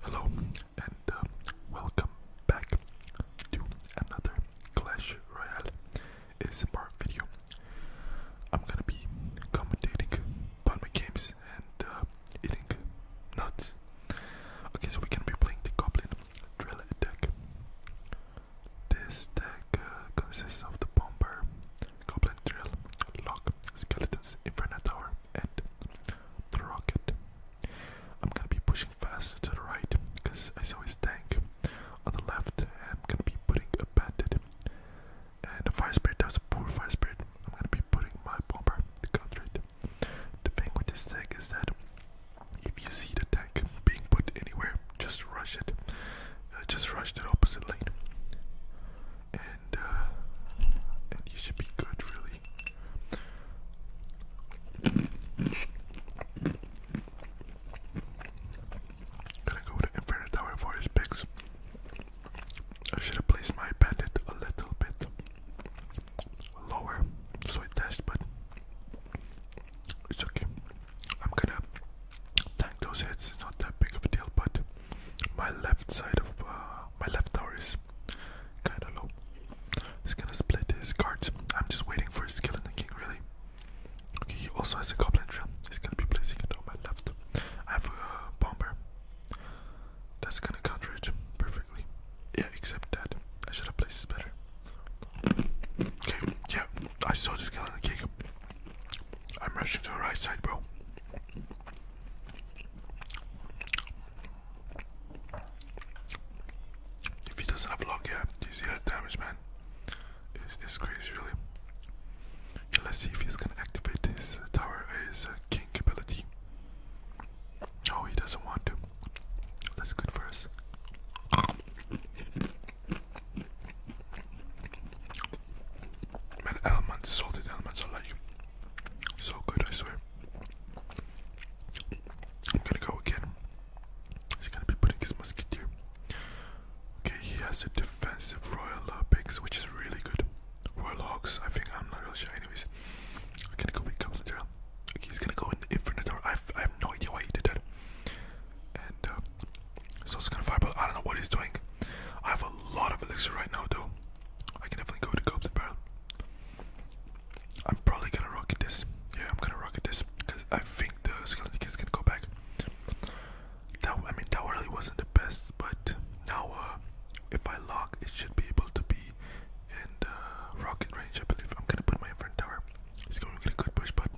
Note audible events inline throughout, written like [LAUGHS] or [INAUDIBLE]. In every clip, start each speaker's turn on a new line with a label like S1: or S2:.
S1: Hello and uh, welcome back to another Clash Royale ASMR video. I'm gonna be commentating about my games and uh, eating nuts. Okay, so we're gonna be playing the Goblin Drill deck. This deck uh, consists of the Bomber, Goblin Drill, Lock, Skeletons, Inferno Tower, and the rocket. I'm gonna be pushing faster to the right because I saw his tank on the left, and I'm gonna be putting a bandit and the fire spirit. does a poor fire spirit. I'm gonna be putting my bomber to counter it. The thing with this tank is that if you see the tank being put anywhere, just rush it. Uh, just rush it opposite lane. Uh, and you should be good, really. Gonna go to Infinite Tower for his picks. I should have placed my bandit a little bit lower, so it dashed, but it's okay. I'm gonna tank those hits. It's not that big of a deal, but my left side of uh, my left tower is kind of low. He's gonna split his cards. I'm just waiting for his skill in the king, really. Okay, he also has a goblin trap. He's gonna be placing it on my left. I have a bomber. That's gonna counter it perfectly. Yeah, except that I should have placed it better. Okay, yeah, I saw the skill in the king. I'm rushing to the right side, bro. If he doesn't have luck, do you see that damage, man? It's, crazy, really. let's see if he's gonna activate his tower, his uh, king ability. Oh, he doesn't want to. That's good for us. Man, almonds, salted almonds are like you. so good, I swear. I'm gonna go again. He's gonna be putting his musketeer. Okay, he has a defensive royal uh, which is really good. Royal hogs, I think, I'm not really sure. Anyways, I'm gonna go with Capital Okay, he's gonna go in Infernator. I have no idea why he did that. And uh, so it's gonna fire, but I don't know what he's doing. I have a lot of elixir right now, though. I can definitely go to go up the barrel. I'm probably gonna rocket this. Yeah, I'm gonna rocket this because I think the skeleton is gonna go back. That I mean, that really wasn't the best, but now uh, if I lock, it should be able to be in the rocket range. I believe I'm gonna put my inferno tower. He's gonna get a good push, but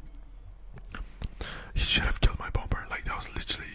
S1: he should have killed my bomber. Like that was literally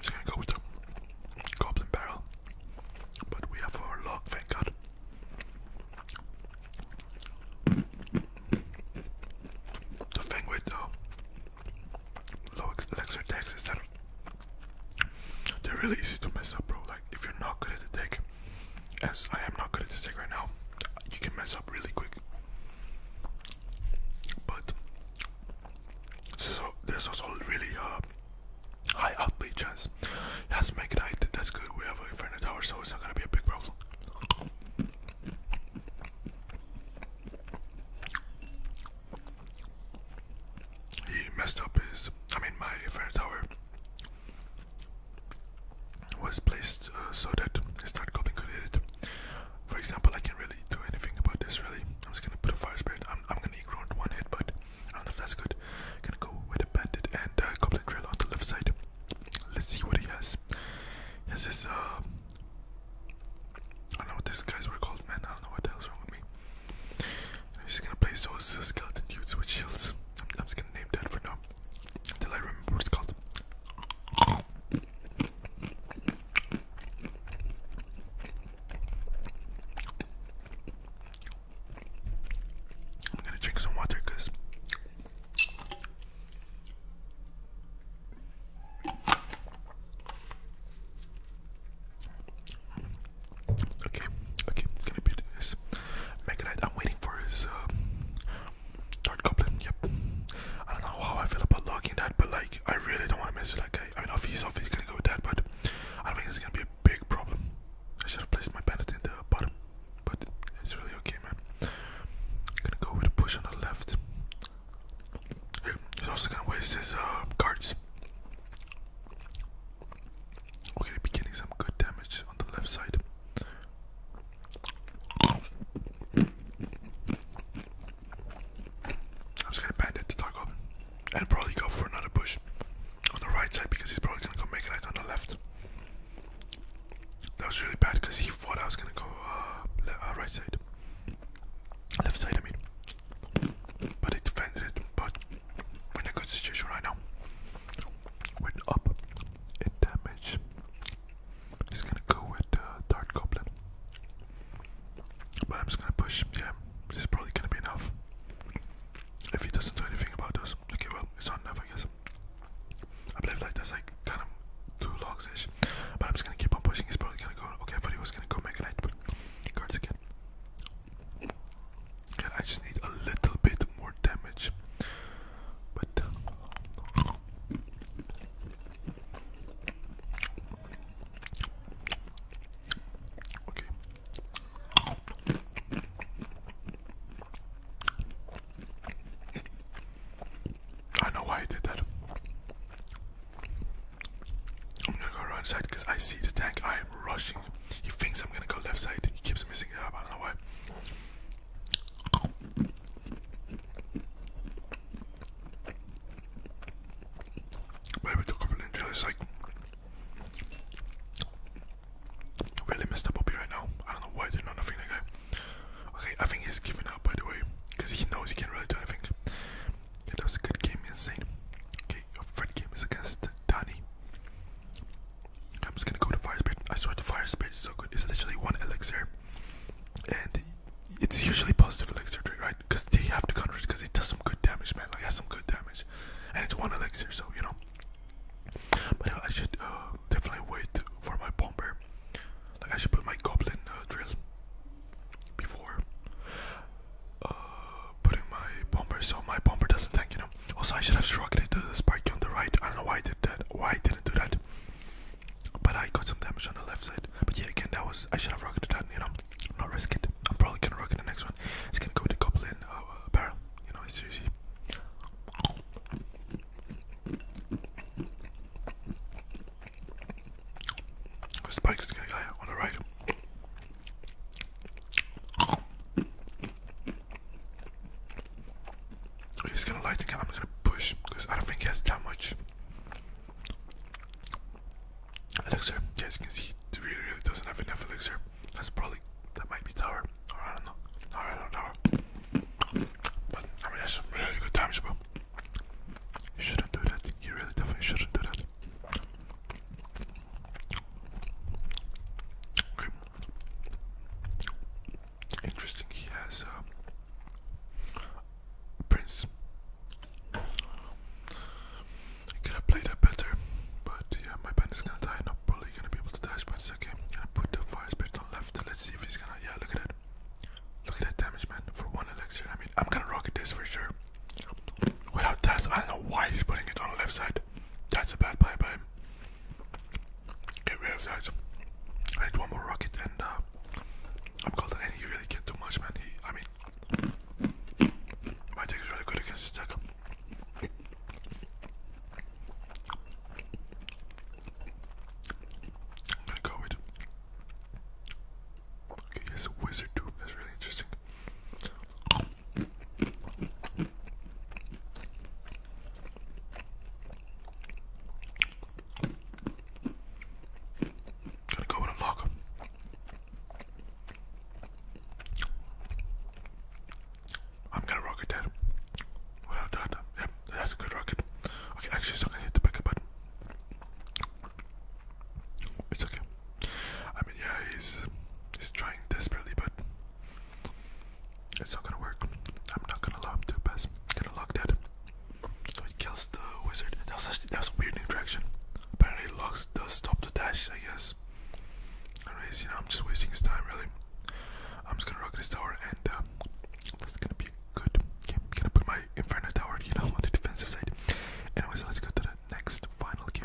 S1: Just gonna go with the goblin barrel. But we have our log, thank god. The thing with the low elixir decks is that they're really easy to mess up, bro. Like, if you're not good at the deck, as I am not good at this deck right now, you can mess up really quick but so there's also really uh, high outplay chance. That's Magnite, that's good. We have an Inferno Tower, so it's not gonna be a big problem. He messed up his, I mean, my Inferno Tower was placed uh, so that it's not complicated. For example, I can't really do anything about this really. I'm just gonna put a fire spirit. I'm, I'm gonna ignore one hit, but I don't know if that's good. Gonna go with a bandit and uh, goblin drill on the left side. Let's see what he has. He has this, uh, I don't know what these guys were called, man. I don't know what the hell's wrong with me. I'm gonna place those uh, skeleton dudes with shields. I'm, I'm just gonna name that for now until I remember what it's called. I'm gonna drink some water because Okay, okay, it's gonna be this. Megalite, I'm waiting for his uh, Dark Goblin, yep. I don't know how I feel about locking that, but like, I really don't want to mess with that guy. I mean, if he's obviously gonna go with that, but I don't think it's gonna be a big problem. I should have placed my bandit in the bottom, but it's really okay, man. gonna go with a push on the left. he's also gonna waste his uh, cards. We're gonna be getting some good damage on the left side. I'm just gonna bandit the taco and probably go for another push on the right side because he's probably gonna go make an right on the left. That was really bad because he thought I was gonna go uh, uh, right side, left side. I mean, but he defended But in a good situation right now. we up hit damage. He's gonna go with the uh, Goblin. But I'm just gonna push. Yeah, this is probably gonna be enough. If he doesn't do anything about those. Okay, well, it's enough, I guess. I believe like that's like kind of two logs ish. But I'm just gonna keep on pushing. He's probably gonna go. Okay, I he was gonna go Mega Knight, but cards again. I just need a little bit more damage. But okay. I know why I did that. I'm gonna go right side because I see the tank. I am rushing. He thinks I'm gonna go left side. He keeps missing up. I don't know why. Maybe took up an injury. like really messed up Bobby right now. I don't know why they not nothing like Okay, I think he's giving up by the way, because he knows he can't really do anything. that was a good game, insane. Okay, your third game is against Danny. I'm just gonna go to Fire Spirit. I swear the Fire Spirit is so good. It's literally one elixir, and it's usually positive elixir trade, right? Because they have to counter it because it does some good damage, man. Like it has some good damage, and it's one elixir, so you know. But uh, I should uh, definitely wait for my bomber. Like I should put my goblin uh, drill before uh, putting my bomber, so my bomber doesn't tank, you know. Also, I should have struck it to the uh, spike on the right. I don't know why I did that. Why I didn't do that. But I got some damage on the left side. But yeah, again, that was I should have rocketed that. You know, not risk it. I'm probably gonna rocket the next one. It's gonna go to the goblin uh, uh, barrel. You know, seriously. Spike is gonna die on the right. He's gonna light the candle. I'm gonna push because I don't think he has that much. Elixir. as you can see, it really, really doesn't have enough elixir. That's probably that might be tower, or I don't know. Or not know. But I mean, that's some really good damage, bro. You shouldn't do that. You really definitely shouldn't do that. Okay. Interesting, he has uh, Prince. I could have played that better, but yeah, my band is gonna die. Not probably gonna be able to dash, but it's okay. I'm gonna put the fire spirit on left. Let's see if he's gonna. Yeah, look at that. Look at that damage, man. For one elixir, I mean, I'm gonna rocket this for sure. Without that, I don't know why he's putting it on the left side. That's a bad play by him. Get rid of that. I need one more rocket, and uh, I'm golden. And he really can't do much, man. He, I mean, my deck is really good against his deck. I'm gonna go with. Okay, he has a wizard too. That's really interesting. Gotta go with a lock. I'm gonna rocket that. Without that, uh, yep, that's a good rocket. Okay, actually, it's not gonna hit the backup button. It's okay. I mean, yeah, he's he's trying desperately, but it's not gonna work. I'm not gonna lock the pass. I'm gonna lock that. So it kills the wizard. That was, a weird interaction. Apparently, locks does stop the dash, I guess. Anyways, you know, I'm just wasting his time, really. I'm just gonna rock this tower, and uh, this is gonna be good. Okay, gonna put my Inferno tower, you know, [LAUGHS] on the defensive side. Anyways, let's go to the next final game.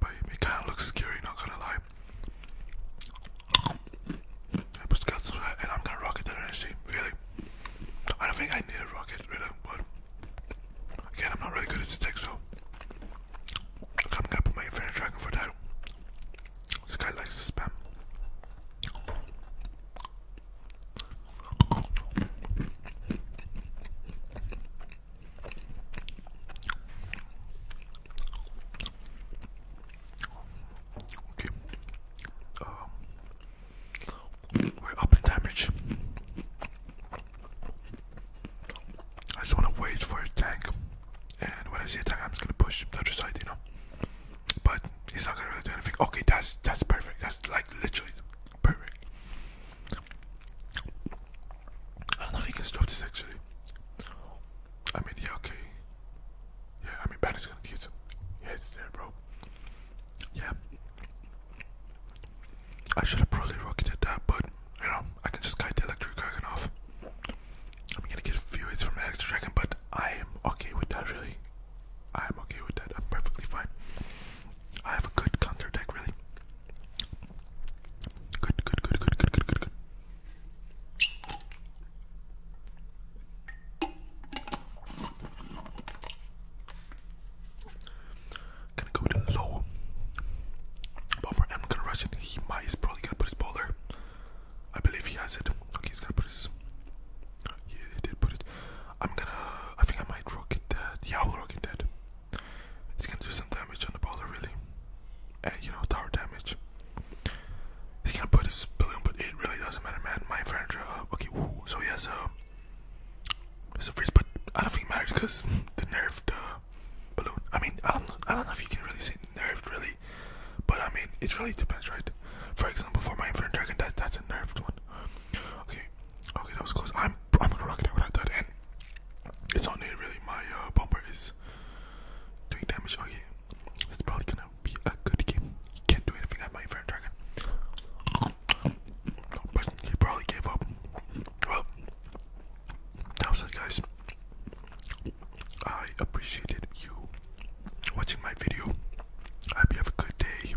S1: but it kind of looks scary, not gonna lie. I just got to and I'm gonna rocket that energy, really. I don't think I need a rocket, really, but again, I'm not really good at stick, so I'm coming up with my Infinite Dragon for that. This guy likes to spam. Okay. Um, we're up damage. I just want to wait for a tank, and when I see a tank, I'm just gonna push the other side, you know. But he's not gonna really do anything. Okay, that's that's perfect. That's like literally perfect. I don't know if he can stop this actually. I mean, yeah, okay. Yeah, I mean, Banner's gonna get some. Yeah, there, bro. Yeah. I should have probably rocketed that, but you know, I can just kite the electric dragon off. I'm gonna get a few hits from the electric dragon, but I am okay with that, really. I am okay with that. I'm perfectly fine. I have a good counter deck, really. Good, good, good, good, good, good, good, good. Gonna go with a low bomber. i gonna rush it. He might is probably gonna put his ball I believe he has it. Okay, he's gonna put his. Yeah, he did put it. I'm gonna. I think I might rocket that. Yeah, I'll rocket that. It's gonna do some damage on the baller really. And you know, tower damage. He's gonna put his balloon, but it really doesn't matter, man. My inventory, uh, okay, woo. So he has a, it's freeze, but I don't think it matters because [LAUGHS] the nerfed uh, balloon. I mean, I don't, know, I don't know if you can really say nerfed, really, but I mean, it really depends, right? For example, for my inferno dragon, that that's a nerfed one. Okay, okay, that was close. I'm I'm gonna rock it out without that, and it's on it really. My uh, bumper is doing damage. Okay, it's probably gonna be a good game. can't do anything at my Inferno Dragon, he probably gave up. Well, that was it, guys. I appreciated you watching my video. I hope you have a good day.